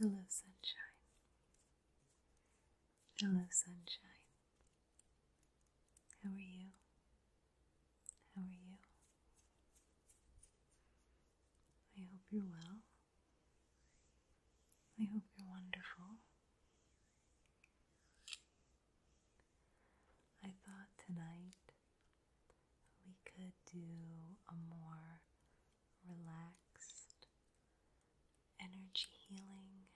Hello, sunshine. Hello, sunshine. How are you? How are you? I hope you're well. I hope you're wonderful. I thought tonight we could do a more relaxed energy healing,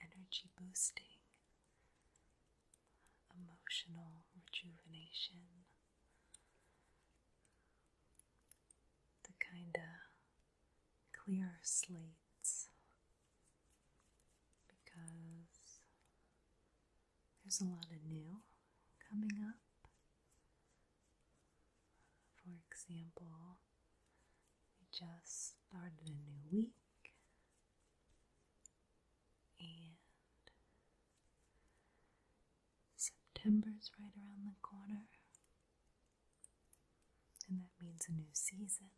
energy boosting, emotional rejuvenation. The kind of clear slates because there's a lot of new coming up. For example, we just started a new week and September's right around the corner. And that means a new season.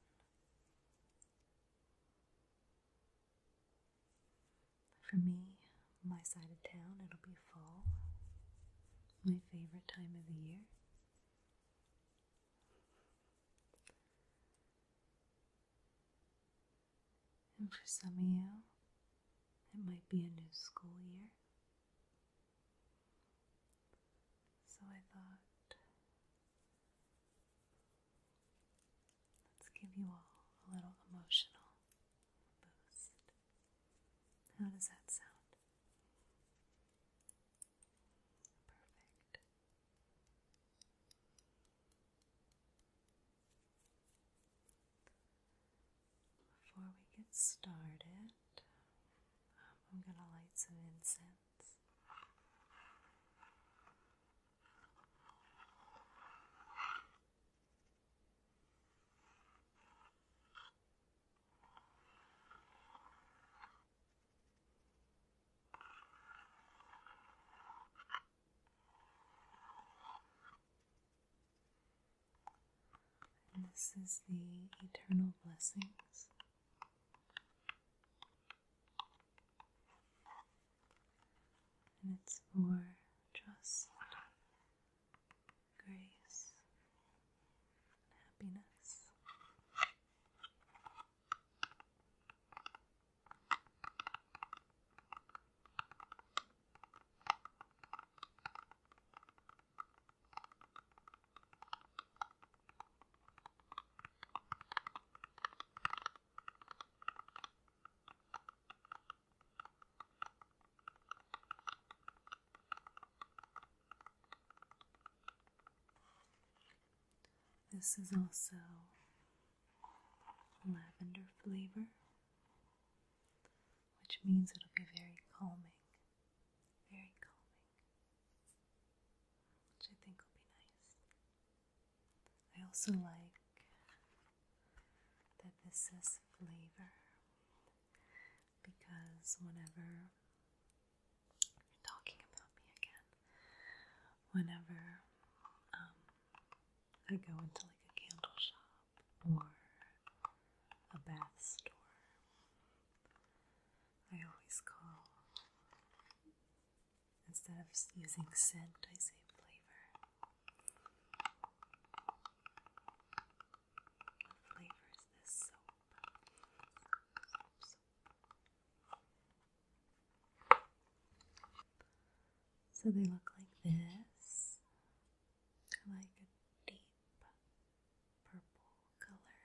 For me, my side of town, it'll be fall, my favorite time of the year. And for some of you, it might be a new school year. So I thought, let's give you all a little emotional boost. How does that sound? Perfect. Before we get started, I'm going to light some incense. this is the eternal blessings and it's for just grace, and happiness. This is also lavender flavor, which means it'll be very calming very calming, which I think will be nice. I also like that this is flavor because whenever you're talking about me again, whenever um, I go into like a candle shop or a bath store I always call. Instead of using scent, I say flavor. What this soap? So they look like this. like a deep purple color.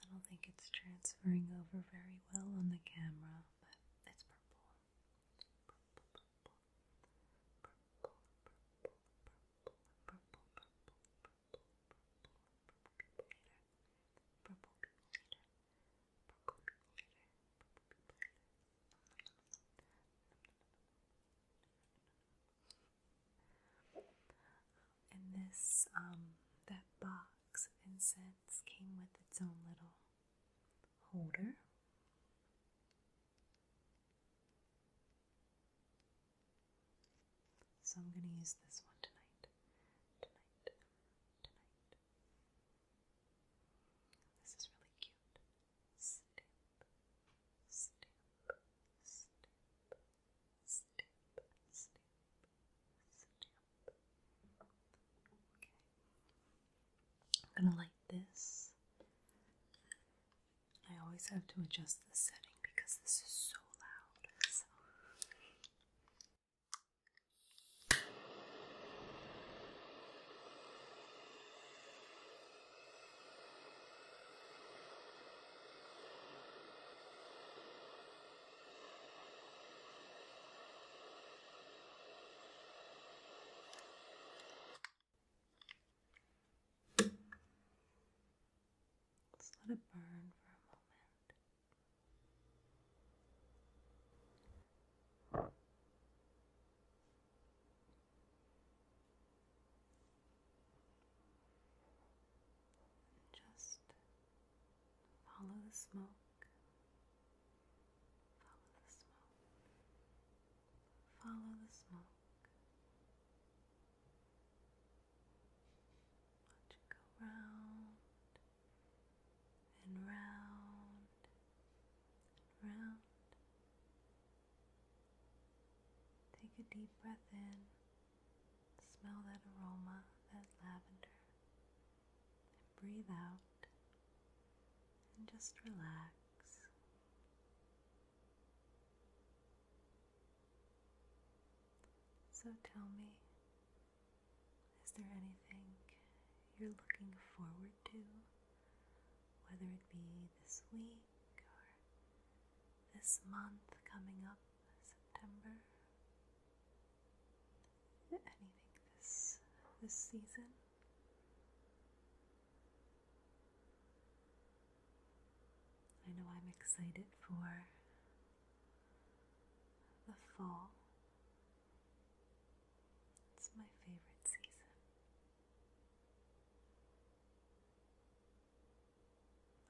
I don't think it's transferring over very well on the camera, but it's purple. And this, um, that box incense came with its own little holder. So I'm going to use this one tonight. Tonight. Tonight. This is really cute. Stamp. Stamp. I'm gonna light this. I always have to adjust the setting because this is so loud. Let's let it burn for a moment. Just follow the smoke, follow the smoke, follow the smoke. Watch it go round and round and round Take a deep breath in. Smell that aroma, that lavender. And breathe out. And just relax. So tell me, is there anything you're looking forward to? whether it be this week or this month coming up, September, anything this this season. I know I'm excited for the fall. It's my favorite season.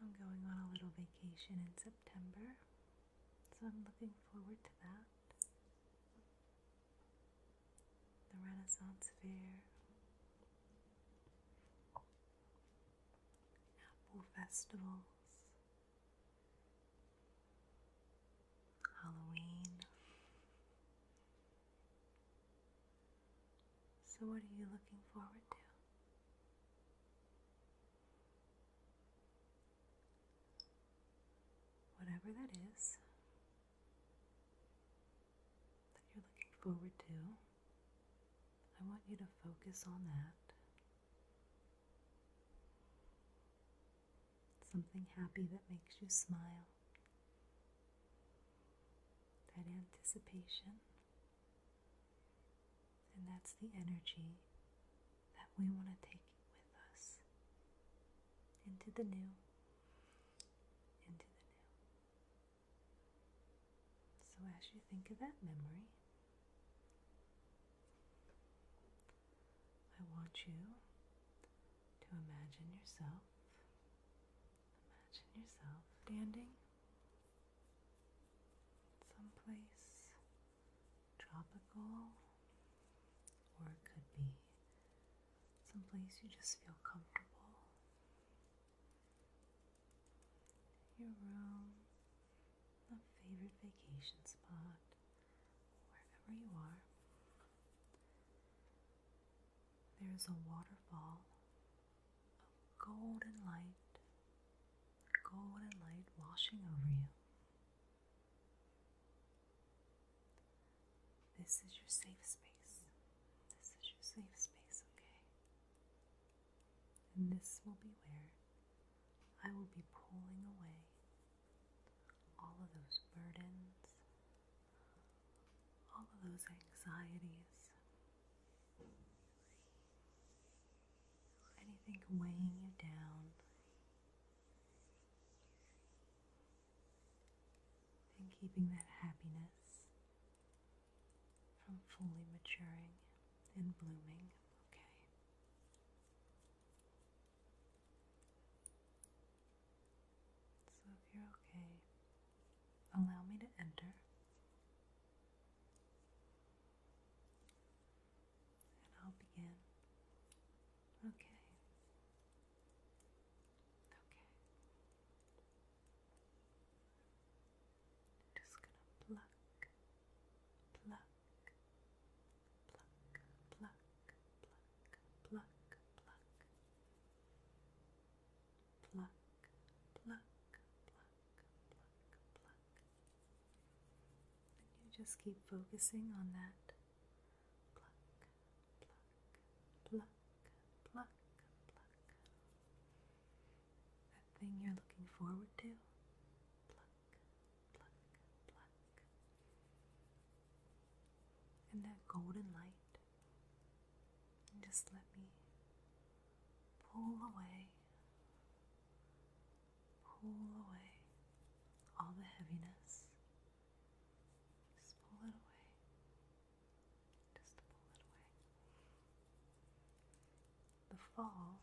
I'm going on a little vacation in September, so I'm looking forward to that. The Renaissance Fair, apple festivals, Halloween. So, what are you looking forward to? Whatever that is that you're looking forward to, I want you to focus on that. Something happy that makes you smile. That anticipation. And that's the energy that we want to take with us into the new, into the new. So, as you think of that memory, I want you to imagine yourself Imagine yourself standing someplace tropical, or it could be someplace you just feel comfortable. Your room, a favorite vacation spot, wherever you are there is a waterfall of golden light, golden light washing over you. This is your safe space. This is your safe space, okay? And this will be where I will be pulling away all of those burdens, all of those anxieties, anything weighing you down, and keeping that happiness from fully maturing and blooming. Okay. So if you're okay, allow me to enter. And I'll begin. Okay. Okay. I'm just gonna pluck, pluck, pluck, pluck, pluck, pluck, pluck, Pluck, pluck, pluck, pluck, pluck. And you just keep focusing on that. Pluck, pluck, pluck, pluck, pluck. That thing you're looking forward to. Pluck, pluck, pluck and that golden light, just let me pull away, pull away all the heaviness. Just pull it away, just pull it away. The fall,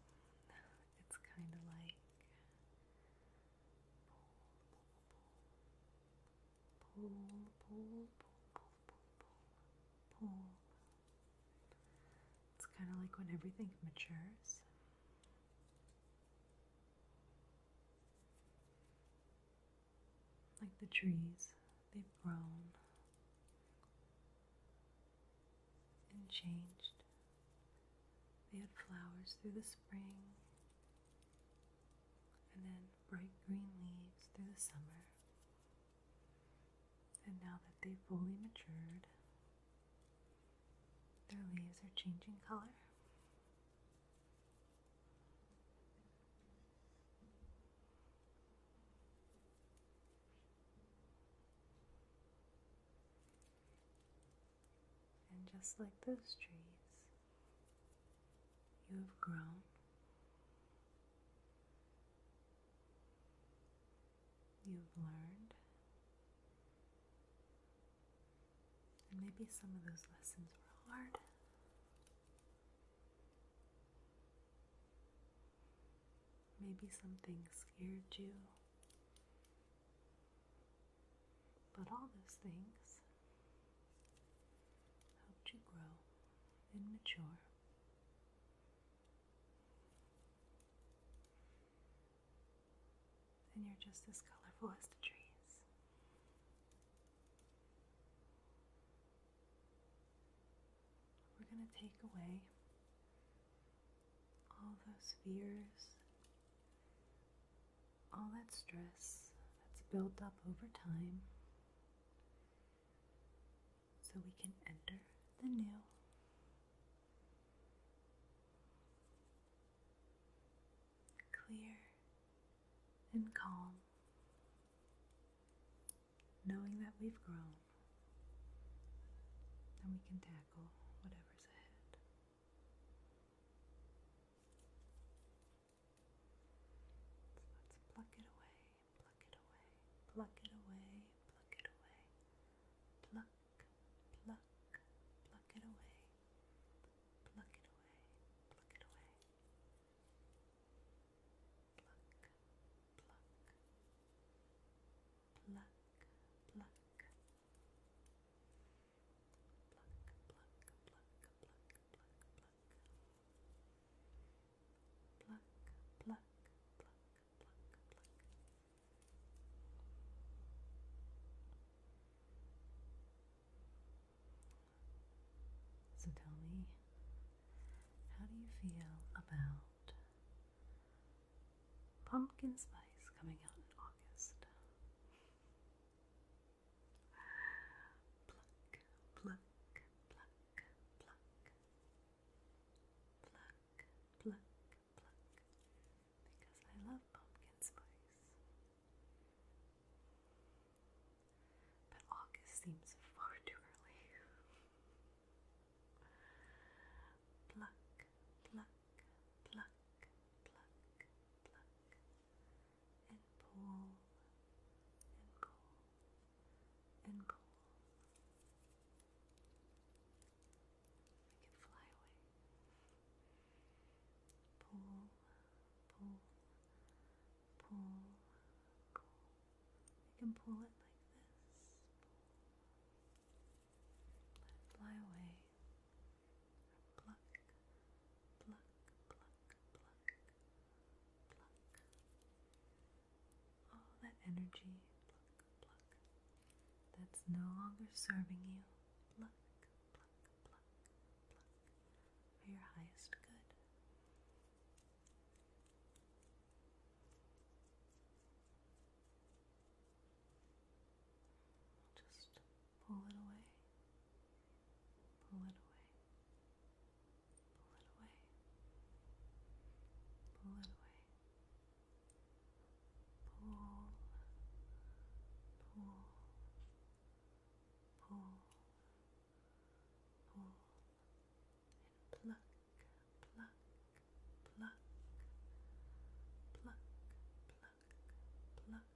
it's kind of like pull, pull, pull, pull, pull, pull, pull. It's kind of like when everything matures. Like the trees, they've grown and changed. They had flowers through the spring and then bright green leaves through the summer. And now that they've fully matured, their leaves are changing color. And just like those trees, you have grown. You've learned. And maybe some of those lessons were hard. Maybe something scared you. But all those things helped you grow and mature. And you're just as colorful as the trees. We're going to take away all those fears all that stress that's built up over time so we can enter the new. Clear and calm, knowing that we've grown and we can tackle whatever's ahead. So let's pluck it away, pluck it away, pluck it away, pluck it away. Pluck, pluck, pluck it away. Pluck it away, pluck it away. Pluck, pluck, pluck, pluck. So tell me, how do you feel about pumpkin spice coming out in August? Pluck, pluck, pluck, pluck. Pluck, pluck, pluck. Because I love pumpkin spice. But August seems far too early. pluck, pluck, pluck, pluck, pluck and pull and pull and pull. We can fly away. Pull, pull, pull, pull. We can pull it like this. fly away pluck, pluck, pluck, pluck, pluck. All that energy, pluck, pluck, that's no longer serving you, pluck, pluck, pluck, pluck, for your highest good. Just pull it away, pull it away, pull it away, pull it away, pull, pull, pull, pull, and pluck, pluck, pluck, pluck, pluck, pluck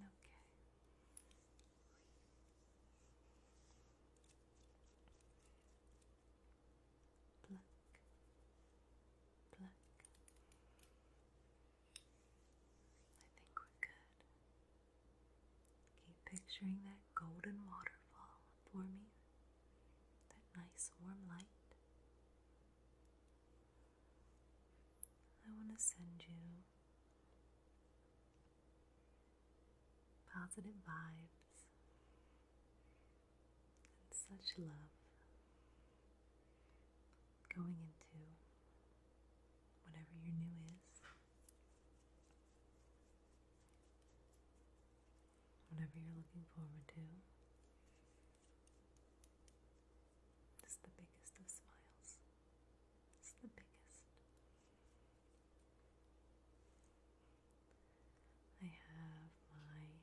Okay. Okay. Pluck. Pluck. I think we're good. Keep picturing that golden waterfall for me, that nice warm light. I want to send you positive vibes and such love going into whatever your new is whatever you're looking forward to. It's the biggest of smiles. It's the biggest. I have my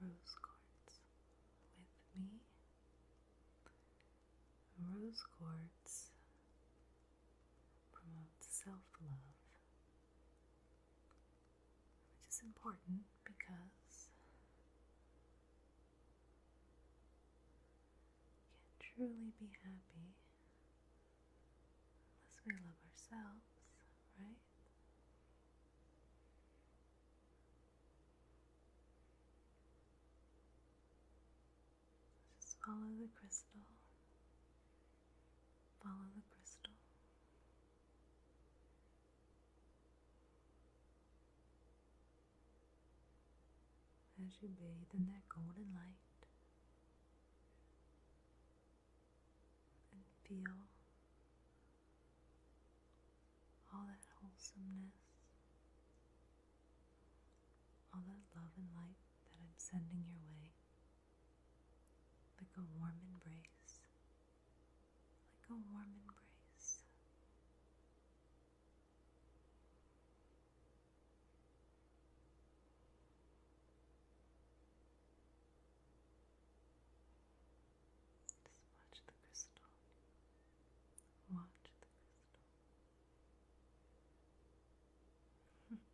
rose quartz with me. Rose quartz promotes self love, which is important because we can truly be happy unless we love ourselves, right? Just follow the crystal. Follow the crystal. As you bathe in that golden light and feel all that wholesomeness, all that love and light that I'm sending your way like a warm embrace, like a warm embrace. Just the crystal. Watch the crystal there you go. There you go.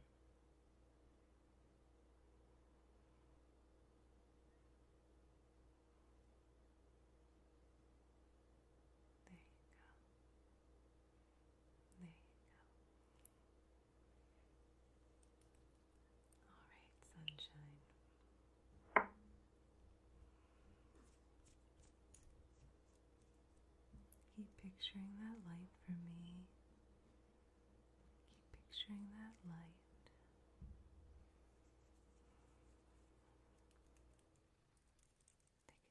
All right, sunshine. Keep picturing that light for me. Keep picturing that light.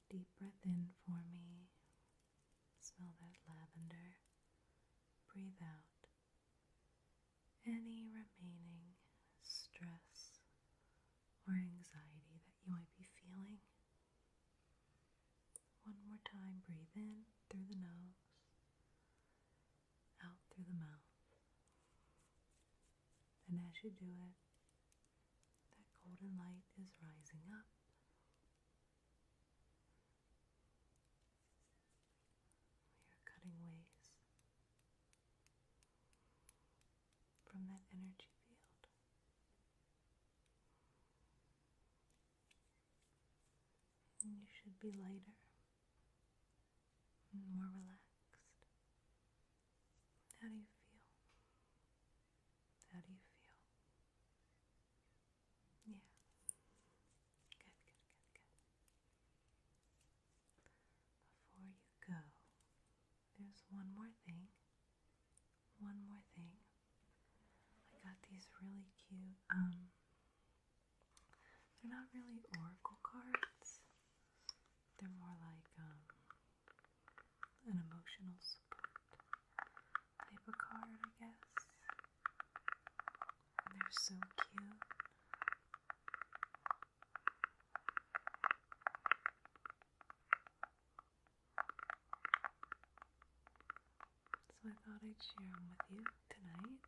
Take a deep breath in for me. Smell that lavender. Breathe out any remaining stress or anxiety that you might be feeling. One more time, breathe in through the nose, out through the mouth. And as you do it, that golden light is rising up. We are cutting ways from that energy field you should be lighter more relaxed. How do you feel? How do you feel? Yeah. Good, good, good, good. Before you go, there's one more thing one more thing. I got these really cute, um, they're not really oracle cards. They're more like um, an emotional support paper card, I guess. And they're so cute. So I thought I'd share them with you tonight.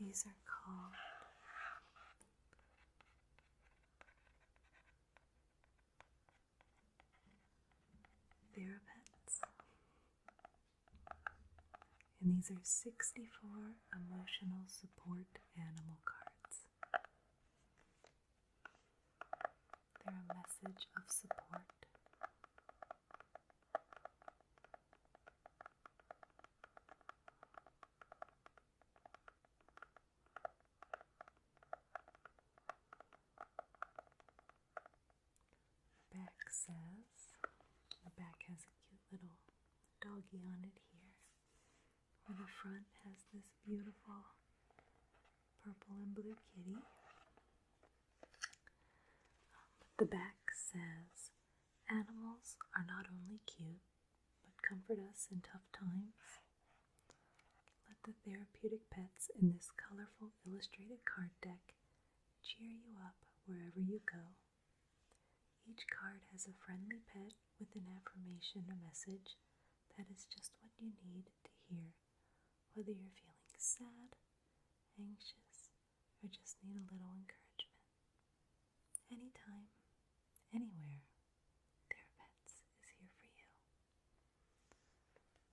These are called Therapets. And these are 64 emotional support animal cards. They're a message of support. back says, the back has a cute little doggy on it here the front has this beautiful purple and blue kitty. Um, the back says, Animals are not only cute, but comfort us in tough times. Let the therapeutic pets in this colorful illustrated card deck cheer you up wherever you go. Each card has a friendly pet with an affirmation a message that is just what you need to hear, whether you're feeling sad, anxious, or just need a little encouragement. Anytime, anywhere, Therapets is here for you.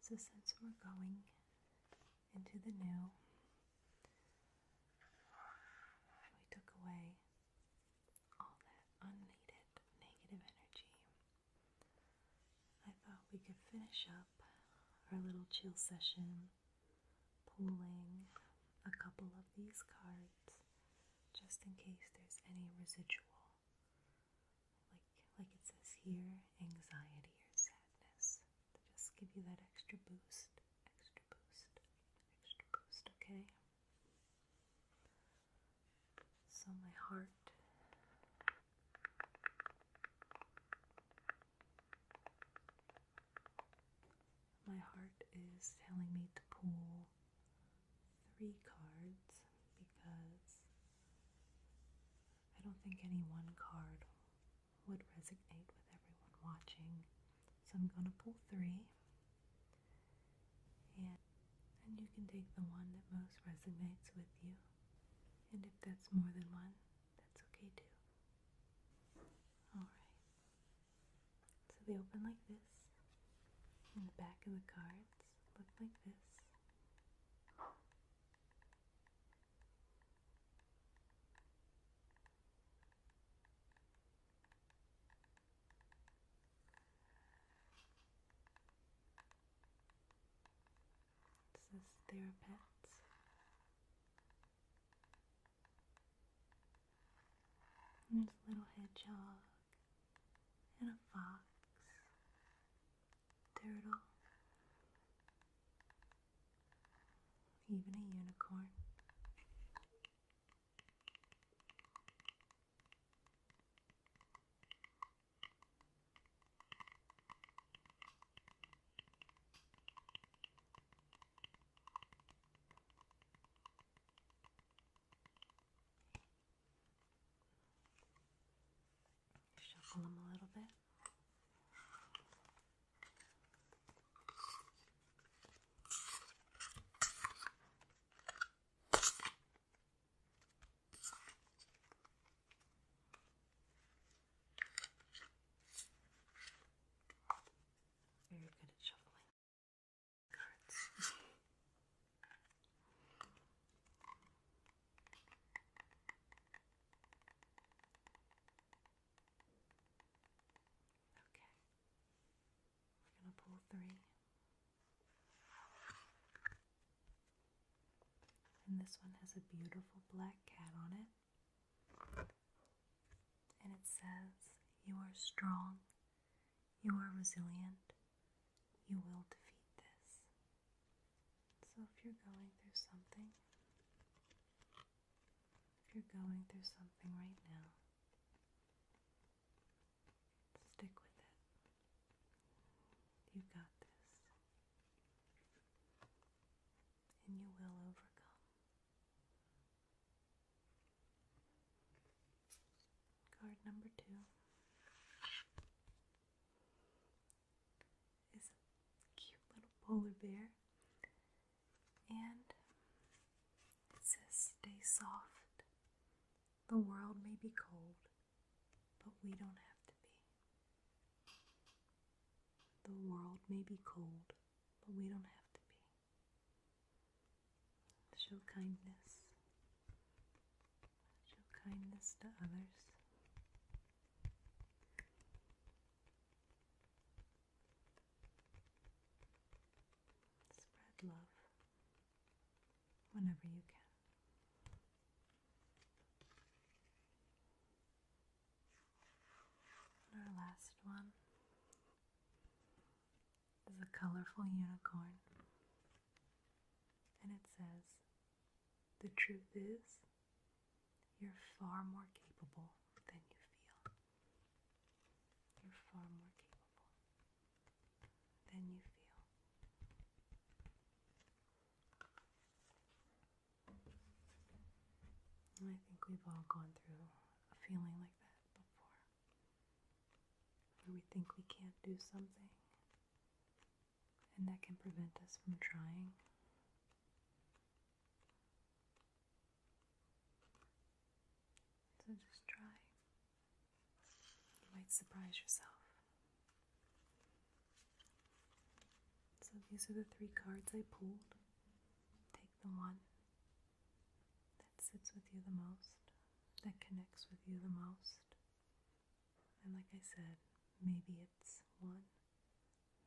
So, since we're going into the new, we took away all that unneeded negative energy. I thought we could finish up our little chill session pulling a couple of these cards just in case there's any residual like like it says here anxiety or sadness to just give you that extra boost extra boost extra boost okay so my heart my heart is telling me to pull three cards because I don't think any one card would resonate with everyone watching. So I'm going to pull three. And, you can take the one that most resonates with you. And if that's more than one, that's okay too. Alright. So they open like this. And the back of the cards look like this. It says they pets. there's a little hedgehog and a fox, turtle, even a unicorn. Shuffle them a little bit. Very good at shuffling okay. We're going to pull three. And this one has a beautiful black cat on it. And it says, You are strong, you are resilient, you will defeat this. So if you're going through something, if you're going through something right now, stick with it. You got this. And you will overcome. Card number two is a cute little polar bear and it says, Stay soft. The world may be cold, but we don't have to be. The world may be cold, but we don't have to be. Show kindness. Show kindness to others. Spread love whenever you can. our last one is a colorful unicorn, and it says, The truth is, you're far more capable than you feel. You're far more capable than you feel. I think we've all gone through a feeling like that before, where we think we can't do something, and that can prevent us from trying. So just try. You might surprise yourself. So these are the three cards I pulled. Take the one that sits with you the most, that connects with you the most. And like I said, maybe it's one,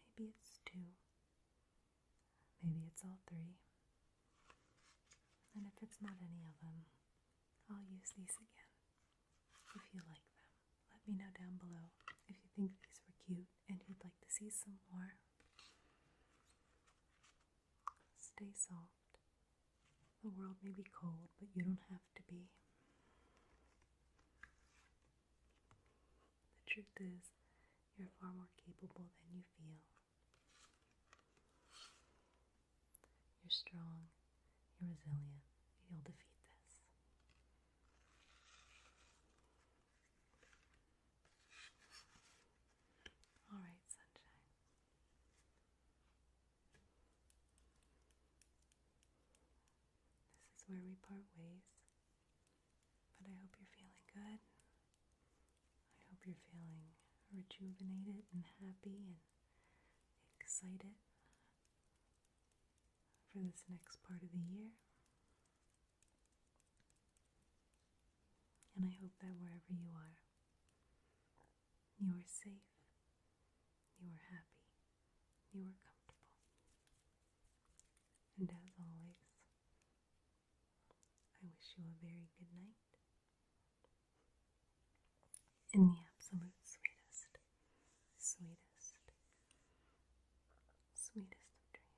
maybe it's two, Maybe it's all three. And if it's not any of them, I'll use these again. If you like them, let me know down below if you think these were cute and you'd like to see some more. Stay soft. The world may be cold, but you don't have to be. The truth is, you're far more capable than you feel. You're strong, you're resilient, you'll defeat this. All right, sunshine. This is where we part ways. But I hope you're feeling good. I hope you're feeling rejuvenated and happy and excited for this next part of the year. And I hope that wherever you are, you are safe, you are happy, you are comfortable. And as always, I wish you a very good night. In the absolute sweetest, sweetest, sweetest of dreams.